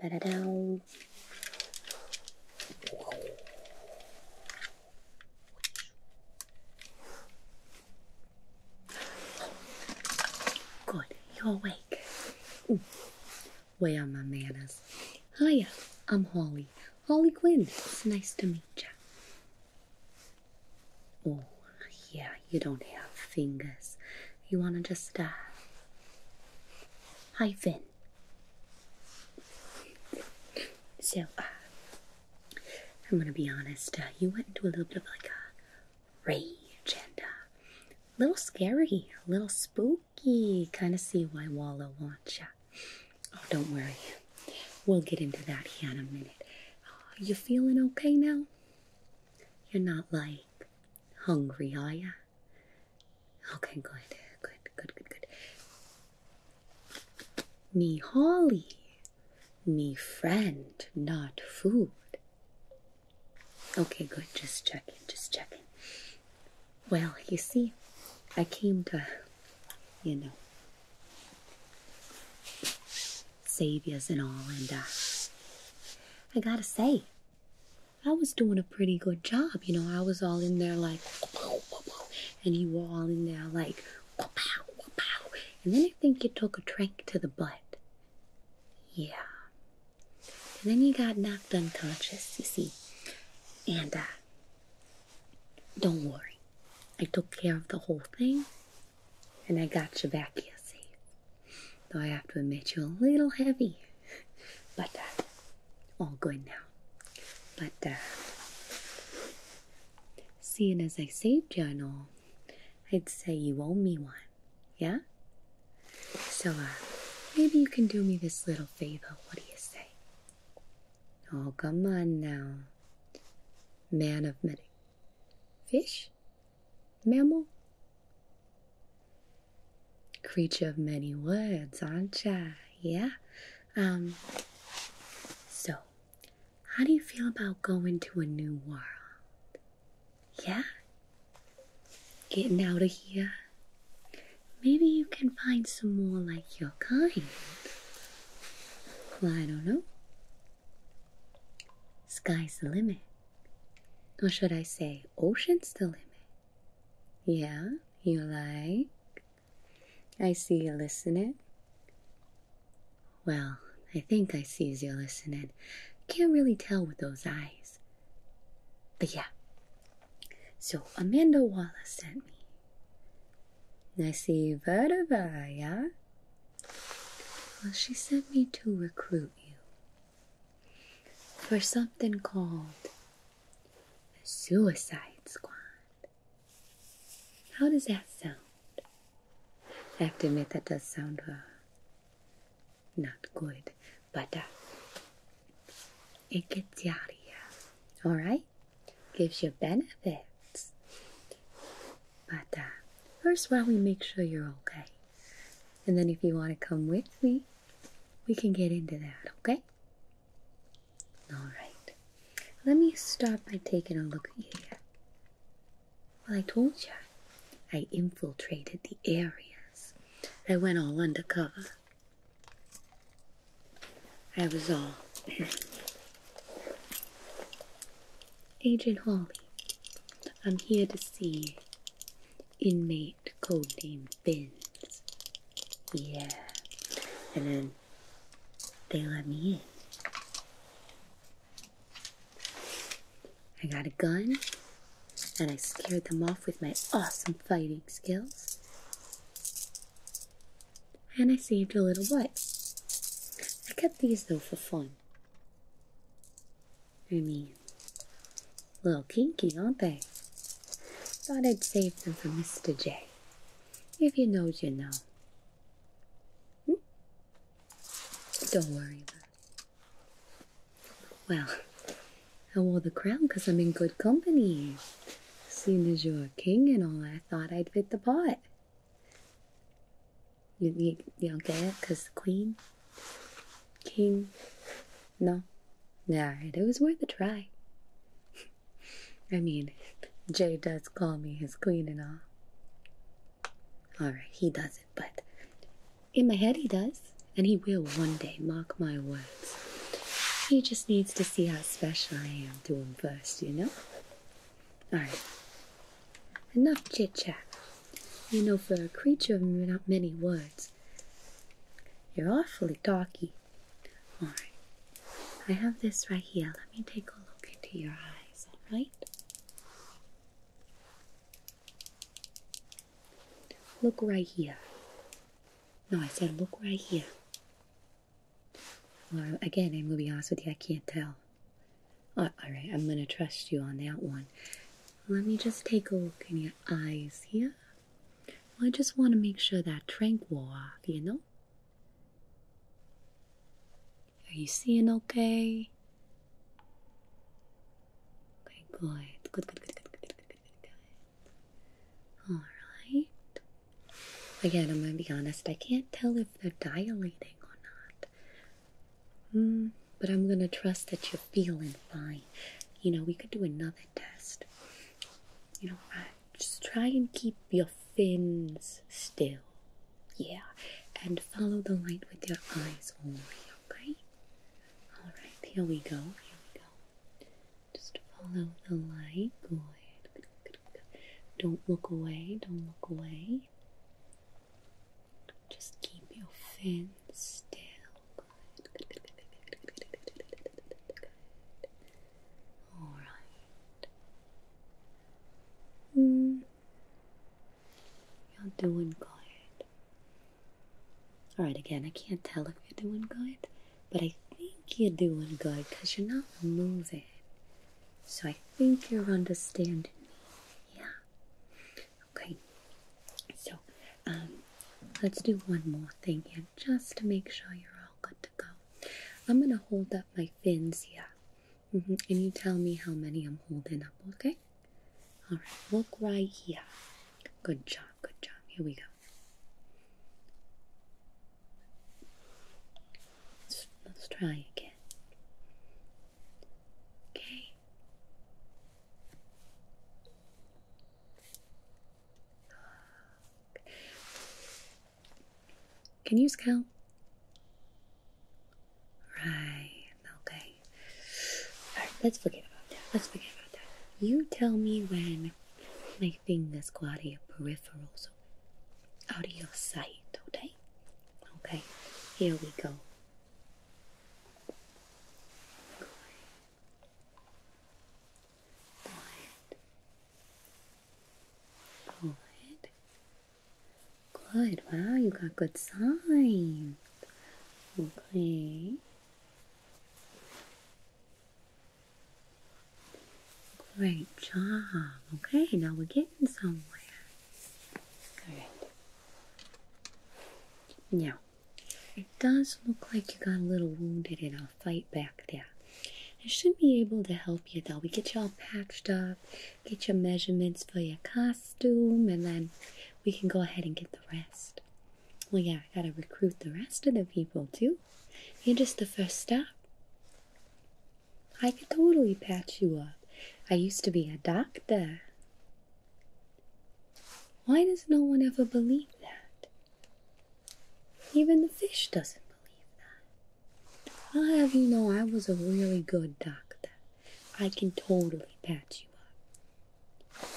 Da da da. Good, you're awake. Where are my manners? Hiya, I'm Holly. Holly Quinn. It's nice to meet ya. Oh, yeah, you don't have fingers. You wanna just uh, hyphen. So, uh, I'm gonna be honest, uh, you went into a little bit of like a rage and uh, a little scary, a little spooky. Kind of see why Wallow wants ya. Oh, don't worry. We'll get into that here in a minute. Oh, you feeling okay now? You're not like hungry, are ya? Okay, good, good, good, good, good. Me Holly, me friend, not food. Okay, good, just checking, just checking. Well, you see, I came to, you know, save yous and all, and uh, I gotta say, I was doing a pretty good job, you know. I was all in there like, and you were all in there like, and then I think you took a drink to the butt. Yeah. And then you got knocked unconscious, you see. And, uh, don't worry. I took care of the whole thing, and I got you back here safe. Though I have to admit you're a little heavy. But uh, all good now. But uh, seeing as I saved you and all, I'd say you owe me one. Yeah? So uh, maybe you can do me this little favor. What do you say? Oh, come on now. Man of many. Fish? Mammal? creature of many words, aren't you? Yeah. Um. So, how do you feel about going to a new world? Yeah. Getting out of here. Maybe you can find some more like your kind. Well, I don't know. Sky's the limit. Or should I say, ocean's the limit? Yeah, you like? I see you listening. Well, I think I see you listening. Can't really tell with those eyes. But yeah. So Amanda Wallace sent me. I see Vadava, yeah? Well, she sent me to recruit you for something called the Suicide Squad. How does that sound? I have to admit that does sound uh, not good, but uh, it gets you out of here. All right, gives you benefits, but uh, first, while we make sure you're okay? And then if you want to come with me, we can get into that, okay? All right. Let me start by taking a look at you Well, I told you, I infiltrated the areas. I went all undercover. I was all Agent Holly. I'm here to see Inmate codename Bins. Yeah. And then they let me in. I got a gun and I scared them off with my awesome fighting skills. And I saved a little butt. I kept these though for fun. I mean, little kinky, aren't they? Thought I'd save them for Mr. J. If you know, what you know. Don't worry love. Well, I wore the crown because I'm in good company. Seeing as you're a king and all, I thought I'd fit the part. You, you don't get it? Because the queen King. No. Nah, it was worth a try. I mean, Jay does call me his queen and all. Alright, he doesn't, but in my head he does. And he will one day, mock my words. He just needs to see how special I am to him first, you know? Alright. Enough chit chat. You know, for a creature of many words, you're awfully darky. All right. I have this right here. Let me take a look into your eyes, all right? Look right here. No, I said look right here. Well, again, I'm going to be honest with you, I can't tell. Uh, all right, I'm going to trust you on that one. Let me just take a look in your eyes here. Well, I just want to make sure that tranquil, you know? Are you seeing okay? Okay, good. Good, good, good, good, good, good, good, good, Alright. Again, I'm going to be honest. I can't tell if they're dilating or not. Mm, but I'm going to trust that you're feeling fine. You know, we could do another test. You know, just try and keep your fins still. Yeah, and follow the light with your eyes only, okay? Alright, here we go, here we go. Just follow the light, good. good, good, good. Don't look away, don't look away. Just keep your fins still, all right. Mm. You're doing good. All right, again, I can't tell if you're doing good, but I think you're doing good because you're not moving. So I think you're understanding me. Yeah. Okay, so um, let's do one more thing here just to make sure you're all good to go. I'm gonna hold up my fins here, mm and you tell me how many I'm holding up, okay? All right, look right here. Good job, good job. Here we go. Let's, let's try again. Okay. Can you use Right, okay. Alright, let's forget about that. Let's forget about that. You tell me when my fingers go out of your peripheral, out of your sight, okay? Okay, here we go glide, glide, glide. Wow, you got good signs. Okay. Great job. Okay, now we're getting somewhere. All right. It does look like you got a little wounded in our fight back there. I should be able to help you though. We get you all patched up, get your measurements for your costume, and then we can go ahead and get the rest. Well, yeah, I gotta recruit the rest of the people too. You're just the first step. I could totally patch you up. I used to be a doctor. Why does no one ever believe that? Even the fish doesn't believe that. I'll have you know I was a really good doctor. I can totally patch you up.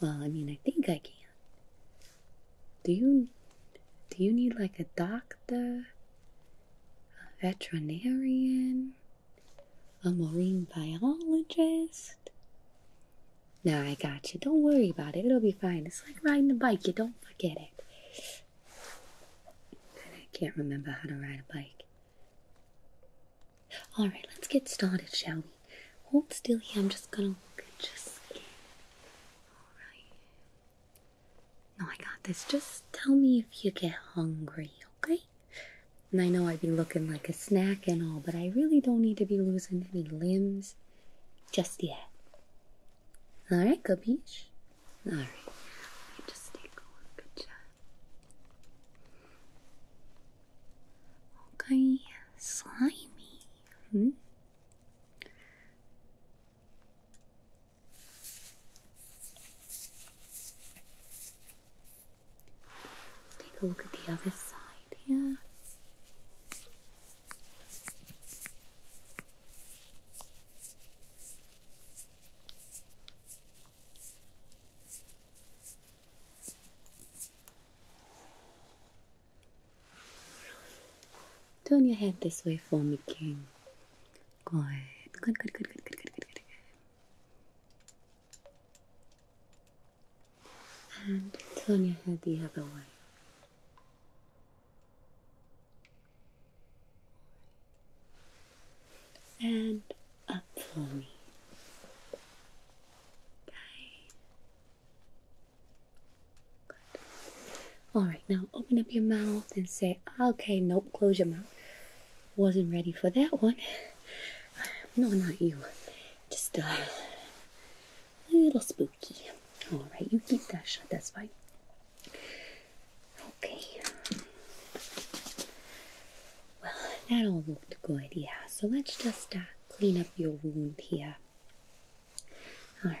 Well, I mean, I think I can. Do you do you need like a doctor, a veterinarian, a marine biologist? No, I got you. Don't worry about it. It'll be fine. It's like riding a bike. You don't forget it. I can't remember how to ride a bike. All right, let's get started, shall we? Hold still here. I'm just gonna look at your skin. All right. No, I got this. Just tell me if you get hungry, okay? And I know I'd be looking like a snack and all, but I really don't need to be losing any limbs just yet. Alright, beach. Alright. Just take a Good job. Okay, slimy. Hmm? Take a look at the other side here. Turn your head this way for me, King. Good, good, good, good, good, good, good, good, good. And turn your head the other way. And up for me. Alright, now open up your mouth and say, okay, nope, close your mouth. Wasn't ready for that one. No, not you just uh, a little spooky. All right, you keep that shut. That's fine. Okay. Well, that all looked good. Yeah. So let's just uh, clean up your wound here. All right.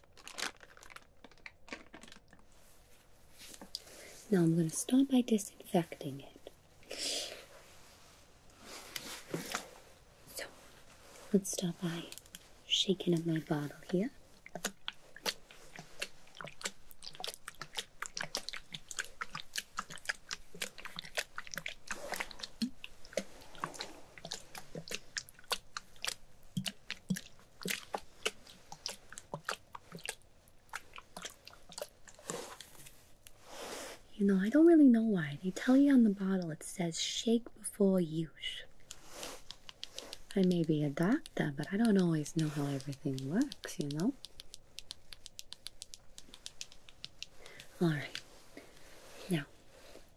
Now I'm going to start by disinfecting it. So let's start by shaking up my bottle here. You know, I don't really know why. They tell you on the bottle it says shake before use. I may be a doctor, but I don't always know how everything works, you know? Alright. Now,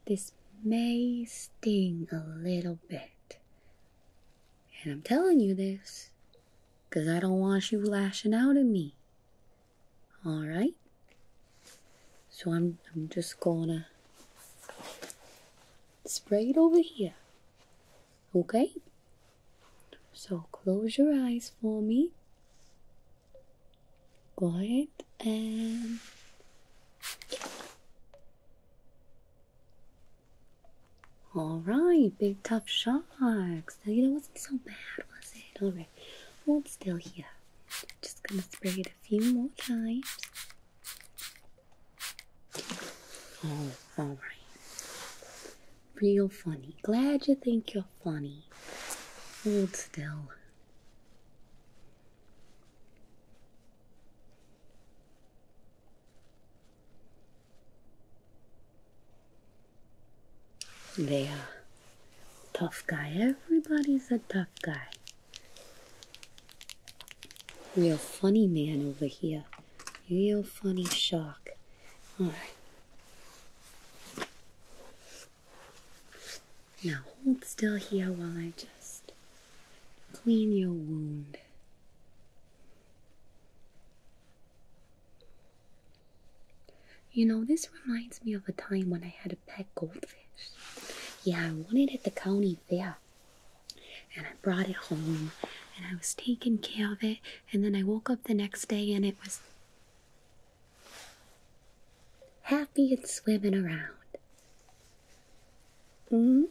this may sting a little bit. And I'm telling you this because I don't want you lashing out at me. Alright? So I'm, I'm just gonna spray it over here. Okay? So close your eyes for me. Go ahead and. All right, big tough sharks. Now, you know, wasn't so bad, was it? All right, hold still here. Just gonna spray it a few more times. Oh, all right. Real funny. Glad you think you're funny. Hold still. There, tough guy. Everybody's a tough guy. Real funny man over here. Real funny shark. Alright. Now hold still here while I just clean your wound. You know, this reminds me of a time when I had a pet goldfish. Yeah, I won it at the county fair. And I brought it home and I was taking care of it. And then I woke up the next day and it was happy and swimming around hmm?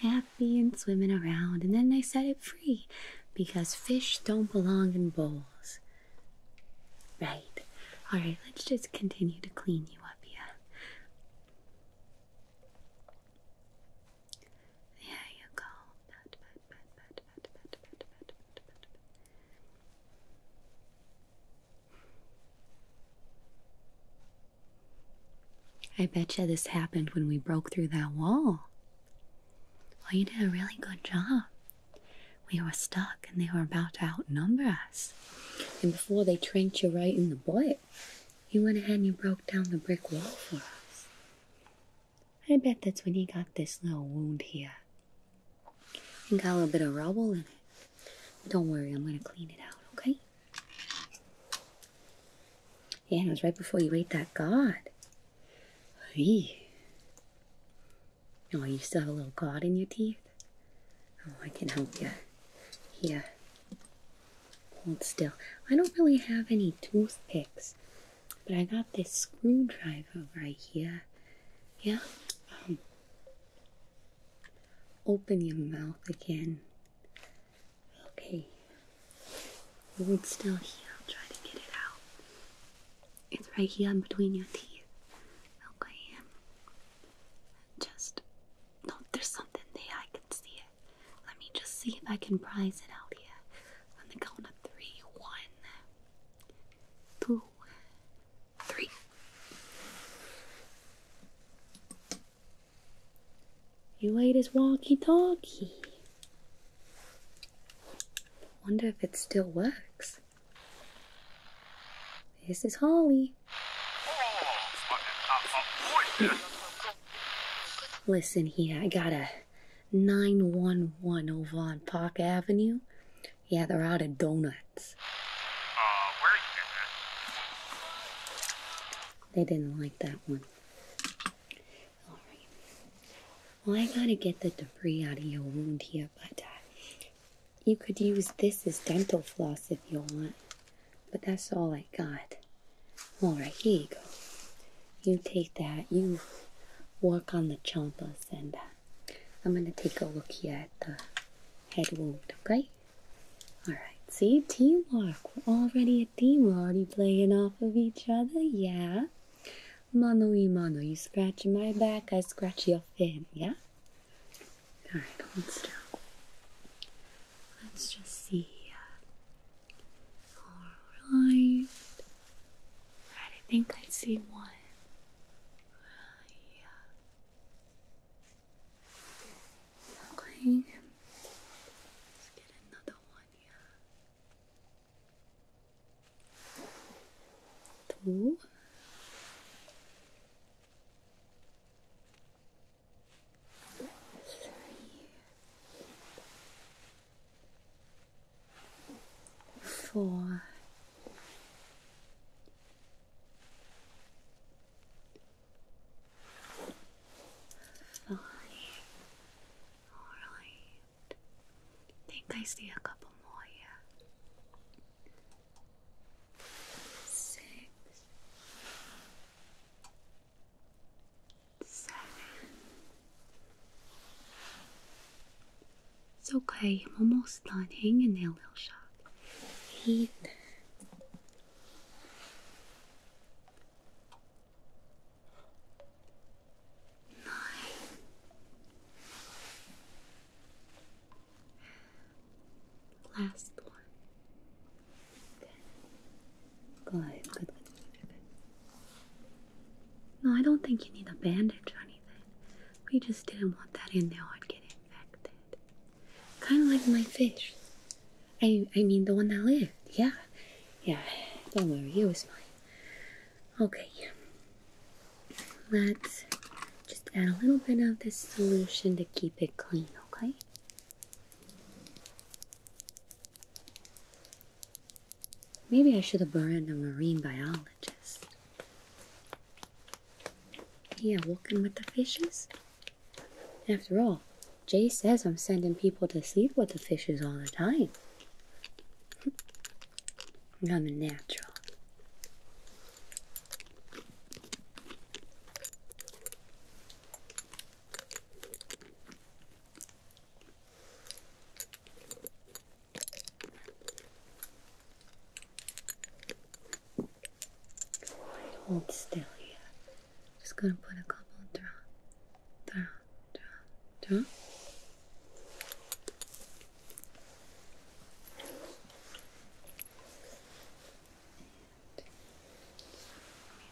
Happy and swimming around, and then I set it free because fish don't belong in bowls. Right. Alright, let's just continue to clean you up yeah. There you go. I betcha this happened when we broke through that wall. Well, you did a really good job. We were stuck and they were about to outnumber us. And before they tranked you right in the butt, you went ahead and you broke down the brick wall for us. I bet that's when you got this little wound here. And got a little bit of rubble in it. don't worry, I'm gonna clean it out, okay? Yeah, it was right before you ate that god. Hey. Oh, you still have a little god in your teeth? Oh, I can help you. Here. Hold still. I don't really have any toothpicks, but I got this screwdriver right here. Yeah? Um, Open your mouth again. Okay. Hold still here. I'll try to get it out. It's right here in between your teeth. Okay. Just no, there's something there. I can see it. Let me just see if I can prize it out here. On the count of three, one, two, three. You ate his walkie-talkie. Wonder if it still works. This is Holly. Listen here, I got a 911 over on Park Avenue. Yeah, they're out of donuts. Uh, they didn't like that one. Alright. Well, I gotta get the debris out of your wound here, but uh, you could use this as dental floss if you want. But that's all I got. Alright, here you go. You take that, you work on the chompers, and uh, I'm gonna take a look here at the head wound, okay? Alright, see? Teamwork. We're already a team. We're already playing off of each other. Yeah? Mano y mano. You scratch my back, I scratch your fin. Yeah? Alright, hold still. Let's just see Alright. Right, I think I see one. yeah going. Let's get another one here. Two. Fine. Alright. Think I see a couple more here. Six. Seven. It's okay, I'm almost done. Hang in there, little shot. Eight. Nine. Last one. Good, No, I don't think you need a bandage or anything. We just didn't want that in there or get infected. Kind of like my fish. I I mean the one that lived. Yeah, yeah. Don't worry, it was fine. Okay. Let's just add a little bit of this solution to keep it clean. Okay. Maybe I should have burned a marine biologist. Yeah, walking with the fishes? After all, Jay says I'm sending people to sleep with the fishes all the time. I'm a natural. Hold still here. Just gonna put a couple drop, drops, drop, drop.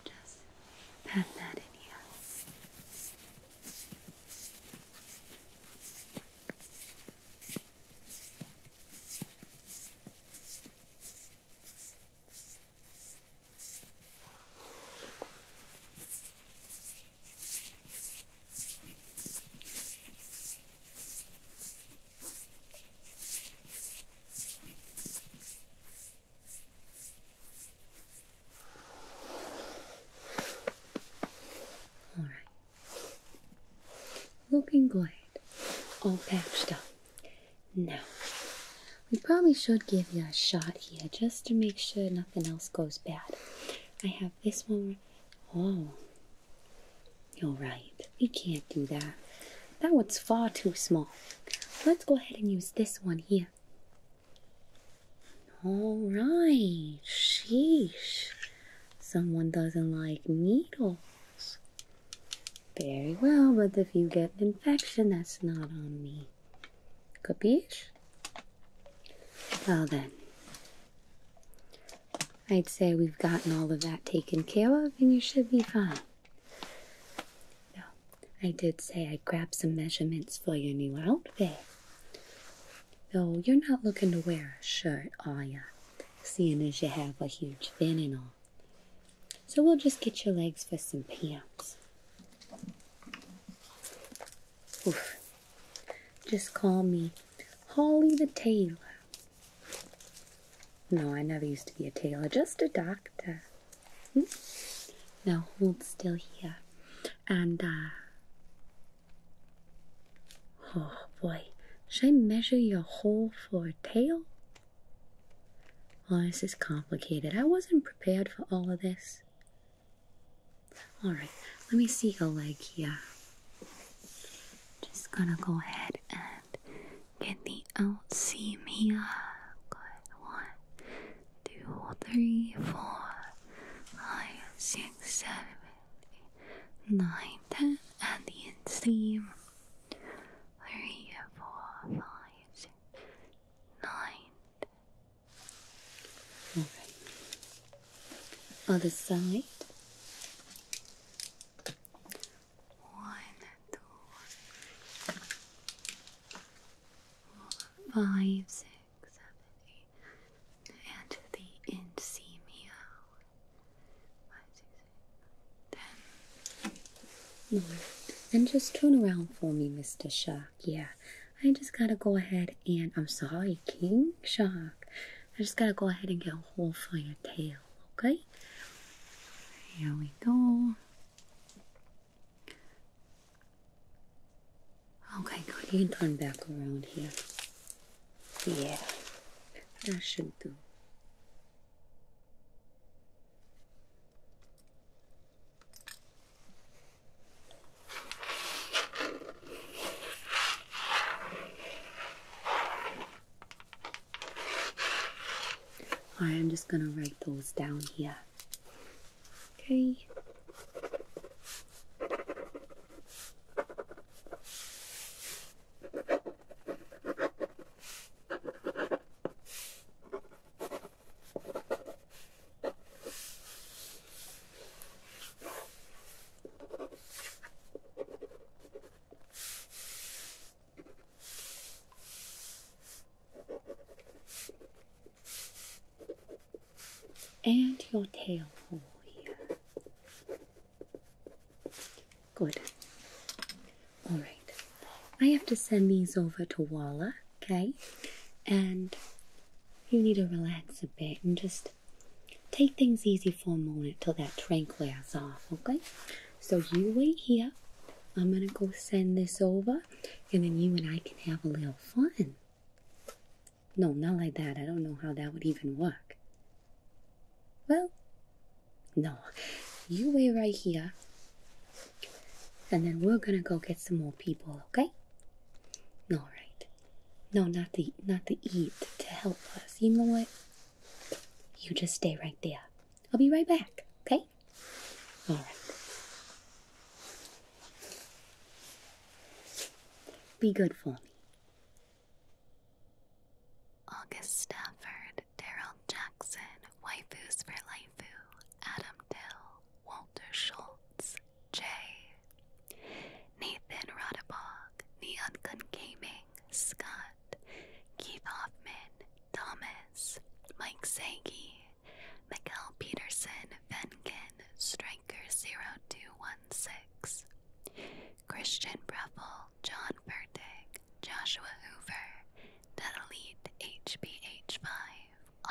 just pat that in here. All right, looking good, all patched up. Now, we probably should give you a shot here just to make sure nothing else goes bad. I have this one. Oh, you're right. You can't do that. That one's far too small. Let's go ahead and use this one here. All right, sheesh. Someone doesn't like needles. Very well, but if you get an infection, that's not on me. Capiche? Well then, I'd say we've gotten all of that taken care of and you should be fine. No, I did say I'd grab some measurements for your new outfit. Though you're not looking to wear a shirt, are ya? Seeing as you have a huge fin and all so we'll just get your legs for some pants. Oof. Just call me Holly the Tailor. No, I never used to be a tailor, just a doctor. Hmm? Now hold still here. And, uh, Oh boy, should I measure your hole for a tail? Oh, this is complicated. I wasn't prepared for all of this. Alright, let me see your leg here. Just gonna go ahead and get the out seam here. Good. One, two, three, four, five, six, seven, eight, nine, ten, and the in three, four, five, six, nine. Alright. Other side. One, two, four, five, six, seven, eight. And the inseam here five, six, eight, nine, ten. No. And just turn around for me, Mr. Shark. Yeah. I just gotta go ahead and I'm sorry, King Shark. I just gotta go ahead and get a hole for your tail, okay? Here we go. Okay, good. You can turn back around here. Yeah, that should do right, I'm just going to write those down here. Okay. And your tail hole here. Good. All right. I have to send these over to Walla, okay? And you need to relax a bit and just take things easy for a moment till that train clears off, okay? So you wait here. I'm gonna go send this over and then you and I can have a little fun. No, not like that. I don't know how that would even work. Well, no, you wait right here, and then we're gonna go get some more people, okay? All right. No, not the not the eat to help us. You know what? You just stay right there. I'll be right back, okay? All right. Be good for me. August Stafford, Daryl Jackson, Waifus for Laifu, Adam Dill, Walter Schultz, J, Nathan Rodabog, Neon Gun Gaming, Scott, Keith Hoffman, Thomas, Mike Sagi, Michael Peterson, Venkin, Striker 0216, Christian Breffel, John Fertig, Joshua Hoover, Natalite HBH5,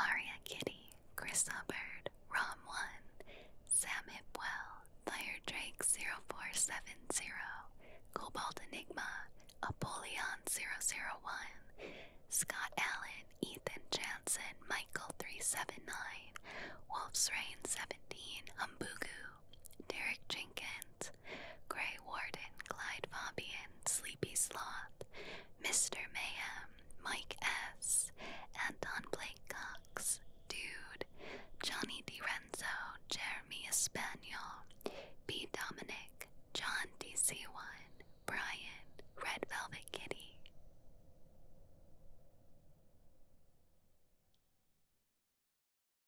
Aria Kitty, Chris Hubbard, Rom1, Sam Hipwell, Fire Drake 0470, Cobalt Enigma, Apollyon 001, Scott Allen, Ethan Jansen, Michael 379, Wolf's Reign 17, Humbugu, Derek Jenkins, Grey Warden, Clyde Fabian, Sleepy Sloth, Mr. Mayhem, Mike S., Anton Blake Cox, Dude, Johnny DiRenzo, Jeremy Espanol, B. Dominic, John DC1, Brian, Red Velvet Kitty.